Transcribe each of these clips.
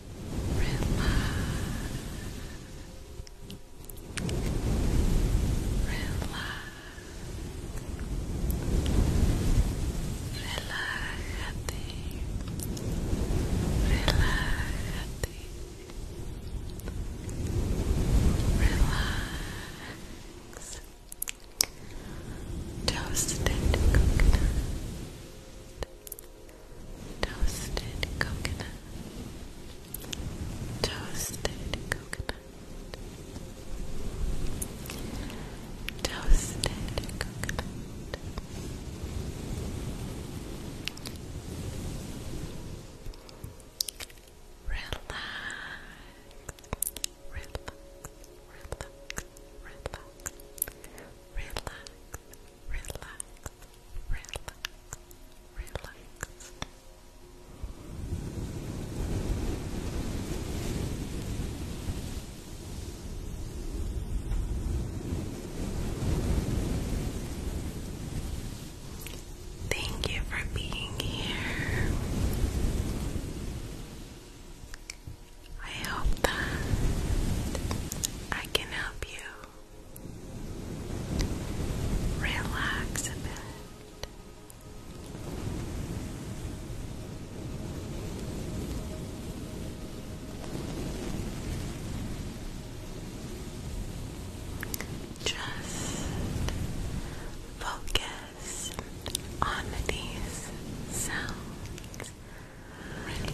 Relájate. Relájate. Relax. Toasted coconut. Toasted coconut. Toasted coconut. Toasted coconut. Relax. Relax. Relax. Relax relax, relax, relax, relax. Thank you for being here. I hope that I can help you relax a bit. Just focus on these sounds Relax,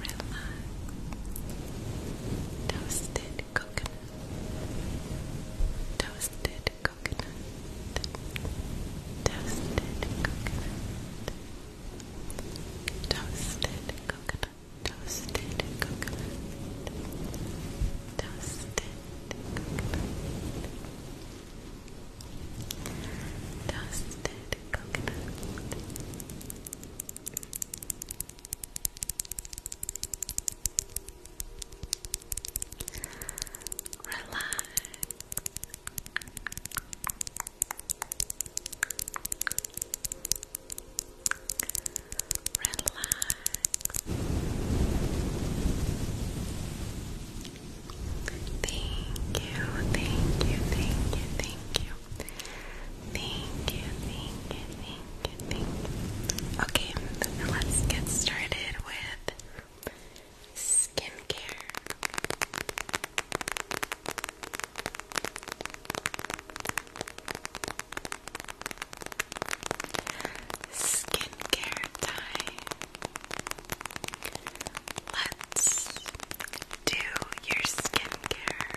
relax. Toasted coconut. Toasted coconut. Toasted coconut. Toasted coconut. Toasted coconut. Toasted coconut. Toasted coconut. Dusted coconut. Relax. Relax. Thank you, thank you, thank you, thank you. Thank you, thank you, thank you, Okay, let's get started with skincare. Skincare time. Let's do your skincare.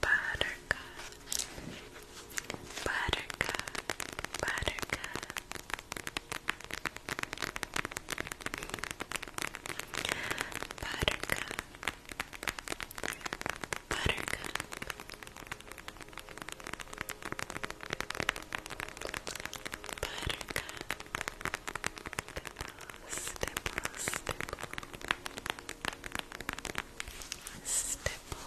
Buttercup, buttercup, buttercup. Buttercup, Buttercup. Buttercup. Stipple, stipple, stipple. Stipple,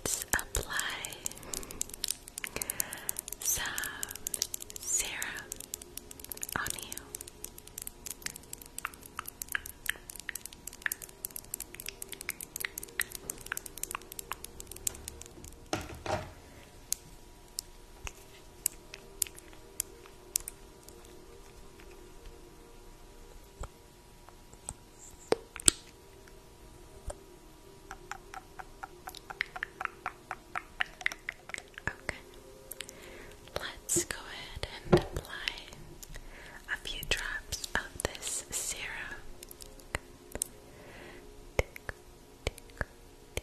Let's apply some serum on you. Okay. Let's go ahead and apply a few drops of this serum.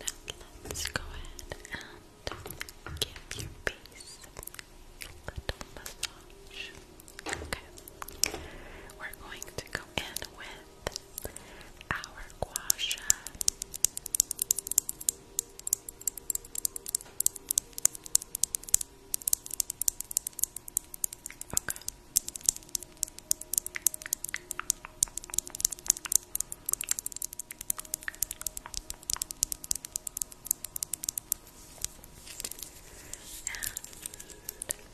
Now let's go ahead and give your face a little massage. Okay. We're going to go in with our gua Okay. And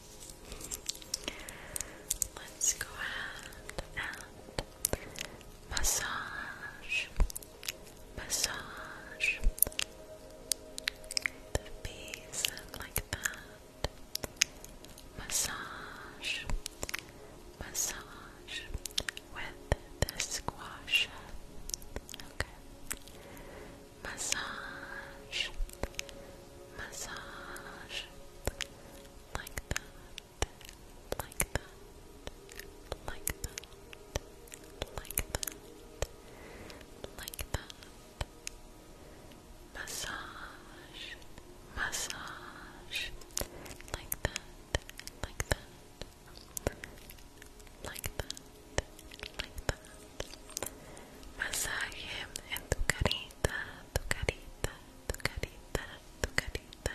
Let's go ahead and massage, massage the bees like that. Massage, massage with the squash. Okay massage, massage, like that, like that, like that, like that, like that, massage, massage, like that, like that, like that like that. Masaje en tu carita, tu carita, tu carita, tu carita,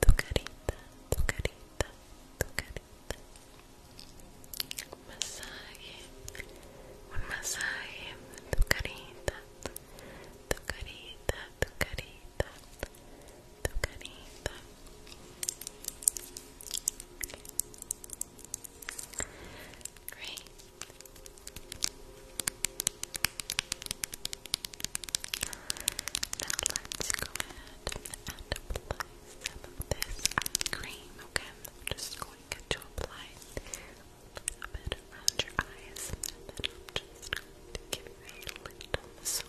tu carita, tu carita, tu carita. Masaje, un masaje en tu carita, tu carita, tu carita, tu carita. Great. Now let's go ahead and apply this eye cream, okay? I'm just going to apply a little bit around your eyes and then give you a little massage.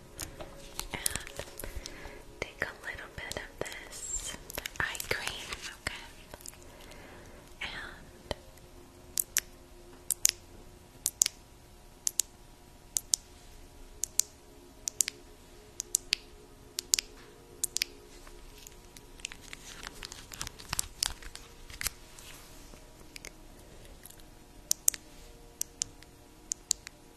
And take a little bit of this eye cream, okay? And and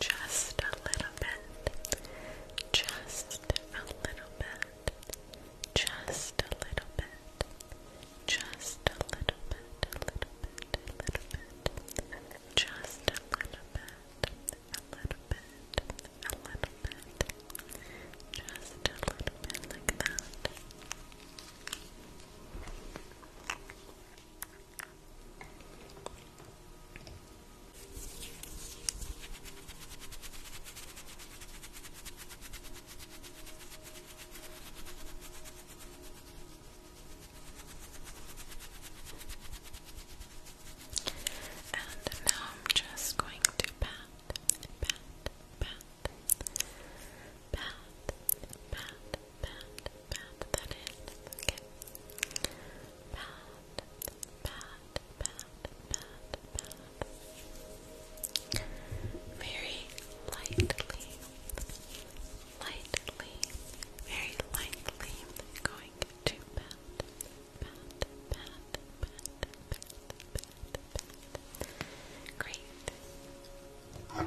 just a little bit, just a little bit, just a little bit, just a little bit, a little bit, a little bit, just a little bit, a little bit, a little bit, just a little bit like that. And now I'm just going to pat, pat, pat, pat, pat, pat, pat that in. Okay. Pat, pat, pat, pat, pat. Very lightly, lightly, very lightly. going to Pat, pat, pat, pat, pat, pat. Great. Good.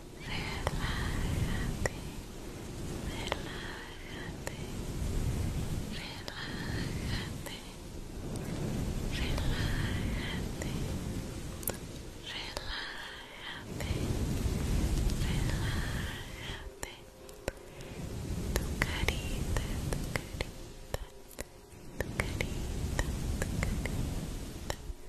relájate, relájate, relájate, relájate, relájate, relájate, tu carita, tu carita, carita, carita,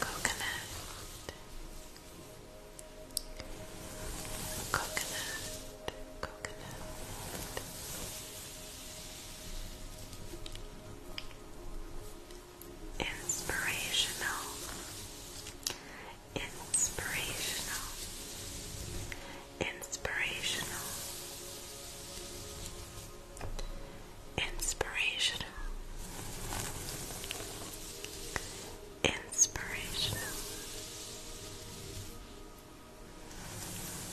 coconut, coconut, coconut. Inspirational, inspirational, inspirational. Inspirational. Inspirational.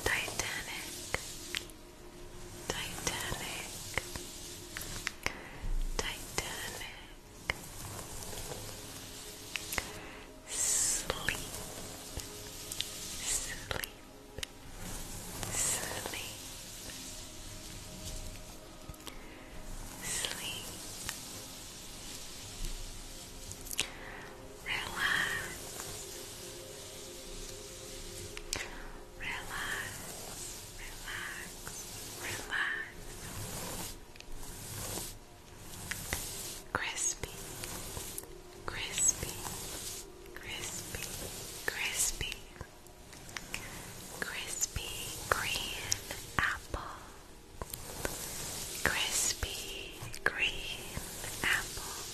Titanic. Titanic. Titanic. Sleep. Sleep sleep, sleep, relax, relax, relax, relax. Crispy, crispy, crispy, crispy, crispy green apple, crispy green apple,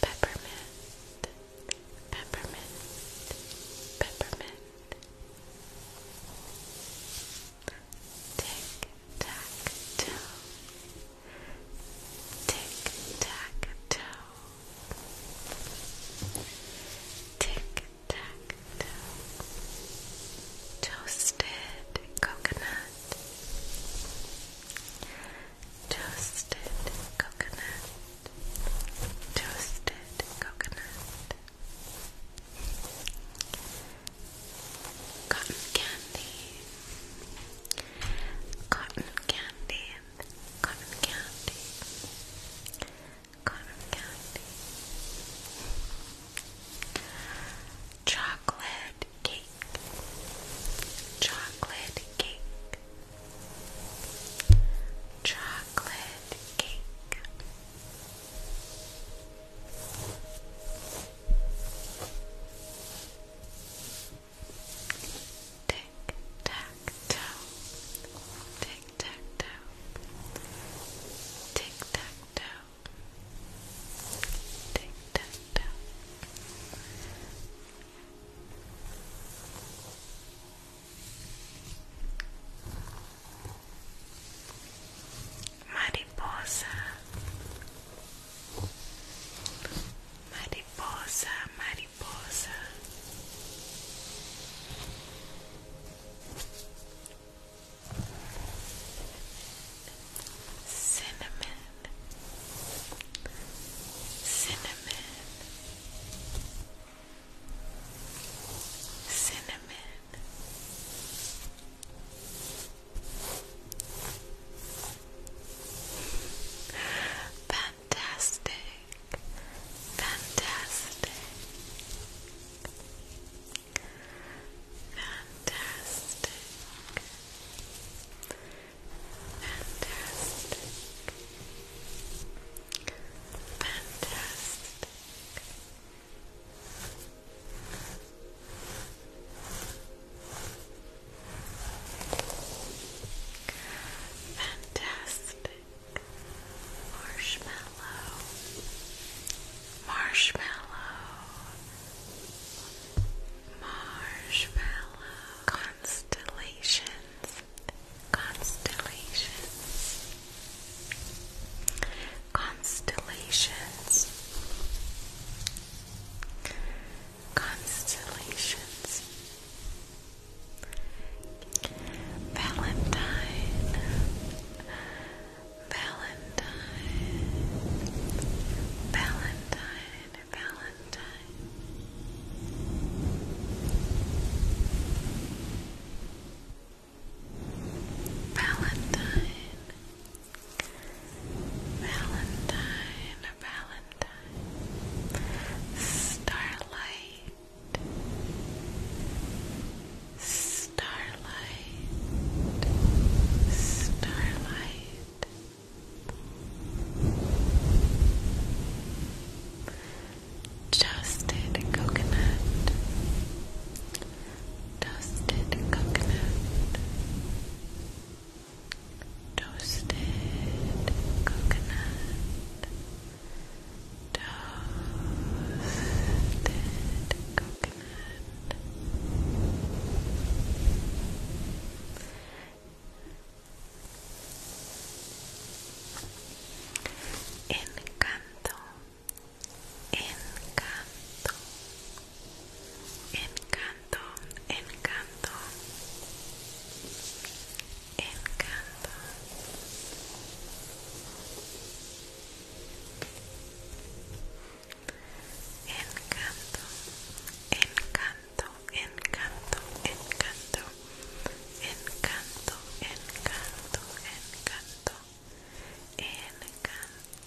peppermint, peppermint, peppermint. Tick tack toe. Tick tack toe. Tick tack Toasted coconut. Toasted coconut. Toasted coconut. Cotton candy. Cotton candy. Cotton candy. Cotton candy. Chocolate cake. Chocolate cake. Chocolate cake. Chocolate cake. Tick tack toe, tick tack toe, tick tack toe, tick tack toe mariposa, mariposa, mariposa. Cinnamon, cinnamon, cinnamon, Fantastic. Fantastic. Fantastic. Fantastic. Fantastic. Fantastic marshmallow, marshmallow, marshmallow constellations, constellations. Constellations. Constellations. Valentine. Valentine. Valentine. Valentine. Valentine. Valentine, Valentine, Starlight, Starlight, Starlight. Toasted coconut, Dusted coconut, toasted coconut, toasted coconut. Encanto, encanto, Encanto, encanto, encanto. Encanto, encanto, encanto, encanto, encanto, encanto, encanto, encanto, encanto,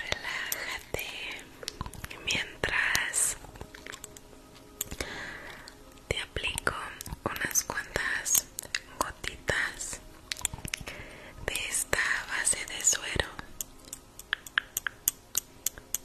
Relájate mientras te aplico unas cuantas gotitas de esta base de suero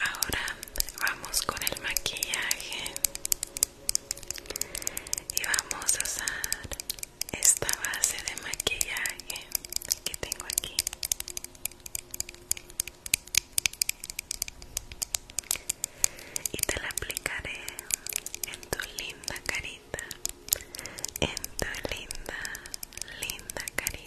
Ahora vamos con el maquillaje y vamos a usar esta base de maquillaje que tengo aquí. Y te la aplicaré en tu linda carita en tu linda, linda carita.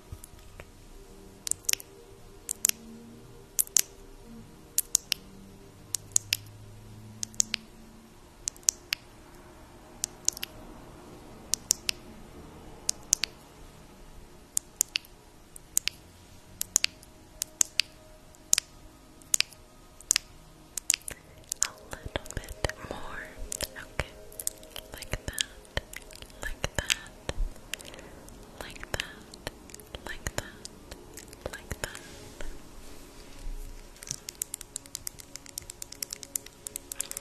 A little bit more, okay, like that like that, like that, like that, like that. And like that, and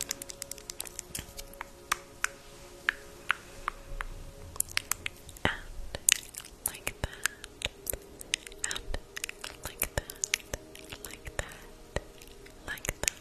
like that, like that, like that.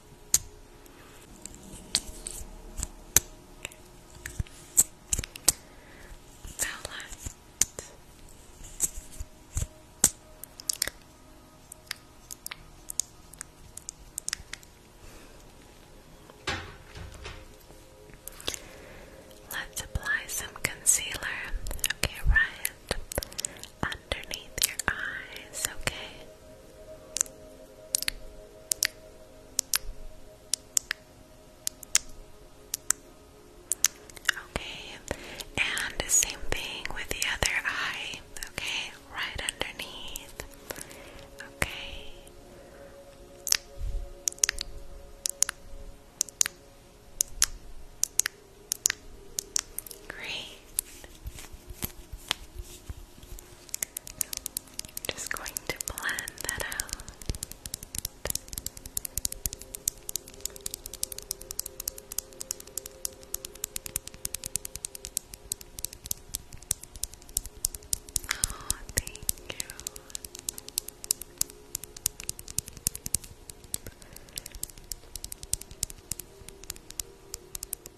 Violet. Let's apply some concealer, okay, right underneath your eyes, okay. Okay, and same thing with the other eye, okay, right underneath. Okay. Great. I'm just going to plan that out. Oh, thank you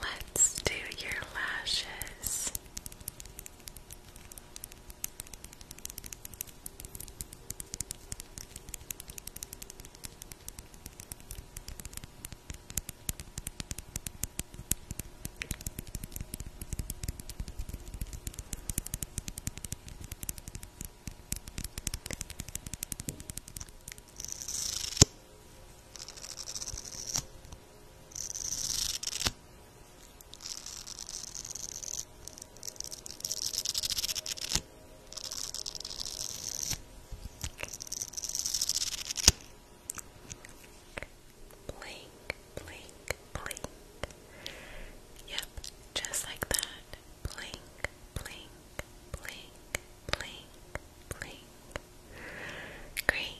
Let's do your lashes. Okay. Blink, blink, blink. Yep, just like that blink, blink, blink, blink, blink. Great.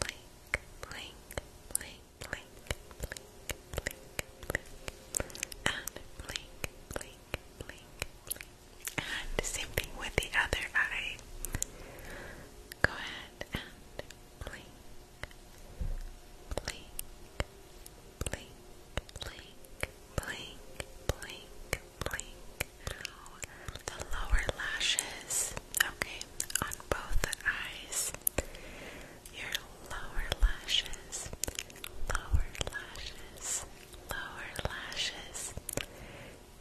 Blink, blink, blink, blink, blink, blink, blink. blink, blink, blink, blink. And same thing with the other eye. Go ahead and blink, blink, blink, blink, blink, blink, blink. the lower lashes, okay, on both eyes. Your lower lashes, lower lashes, lower lashes.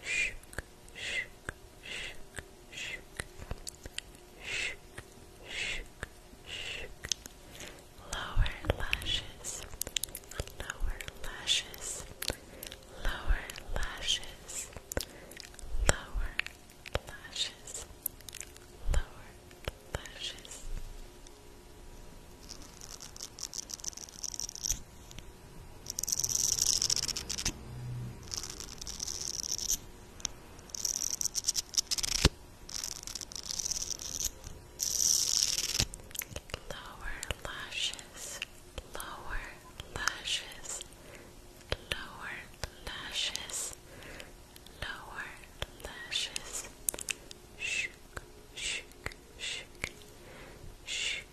Shook, shook, shook, shook, shook, shook, shook lower lashes, lower lashes, lower lashes, lower lashes, lower lashes. Lower lower lashes, lower lashes, lower lashes, lower lashes, shook, shook, shook, shook,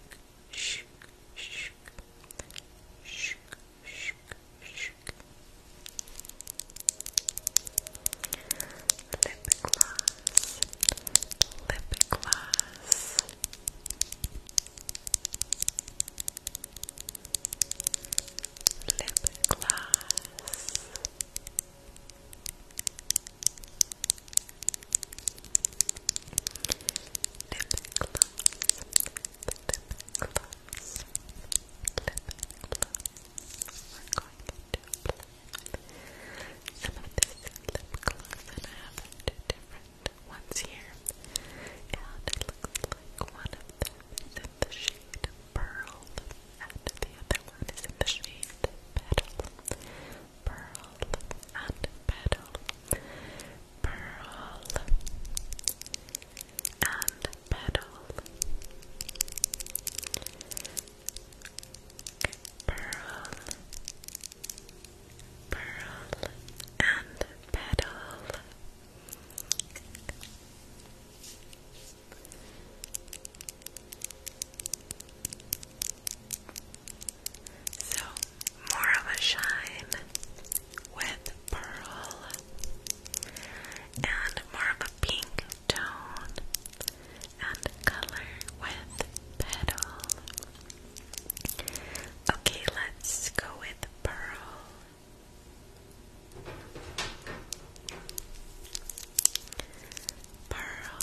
shook, shook, shook, shook, shook. Lip gloss, lip gloss. Lip gloss. Lip gloss. Lip gloss. Lip gloss going to some of this lip gloss I have two different ones here and it looks like one of them is in the shade Pearl and the other one is in the shade Petal Pearl and Petal Pearl and Petal pearl, pearl, and petal. So, more of a shine with pearl and more of a pink tone and color with petal. Okay, let's go with pearl. Pearl.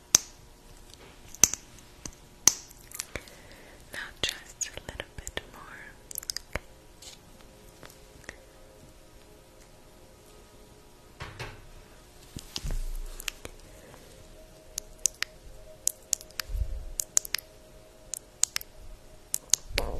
Now just a little bit more. Okay.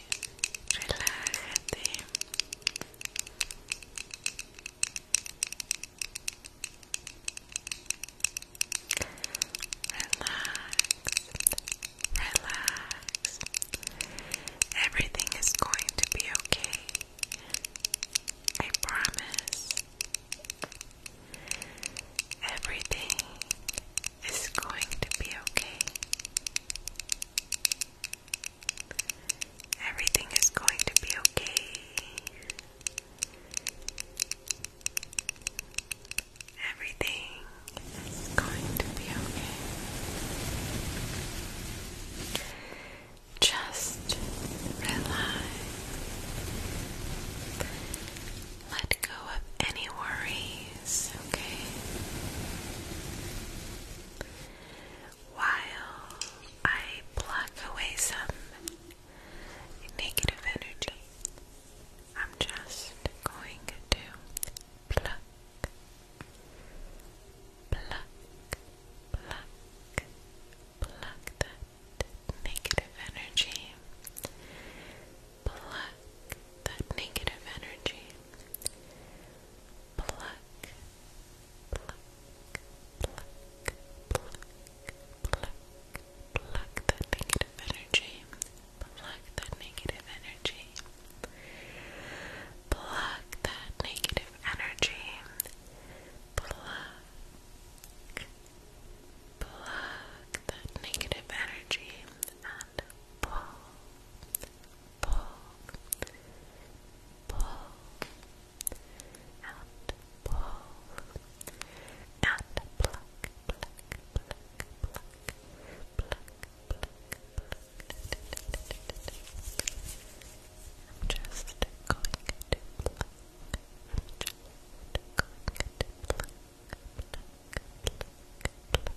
Relax, relax. Everything is going to be okay. I promise. Everything is going to be okay. Everything is going to be okay. Everything is going to be okay. Just relax. Let go of any worries, okay? while I pluck away some negative energy. I'm just going to pluck, pluck, pluck, pluck that negative energy, pluck that negative energy, pluck, pluck, pluck, pluck, pluck, pluck that negative energy, pluck that negative energy, pluck that negative energy, pluck, pluck that negative energy, and pull pull, pull, and pull, and pluck, pluck, pluck, pluck, pluck, pluck, pluck. I'm just going to pluck. I'm just going to pluck, pluck, pluck, pluck.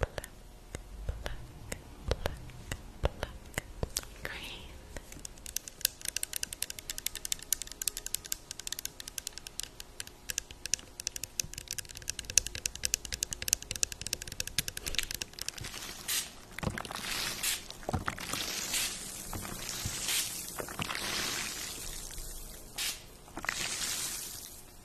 pluck, pluck, pluck, pluck. Green.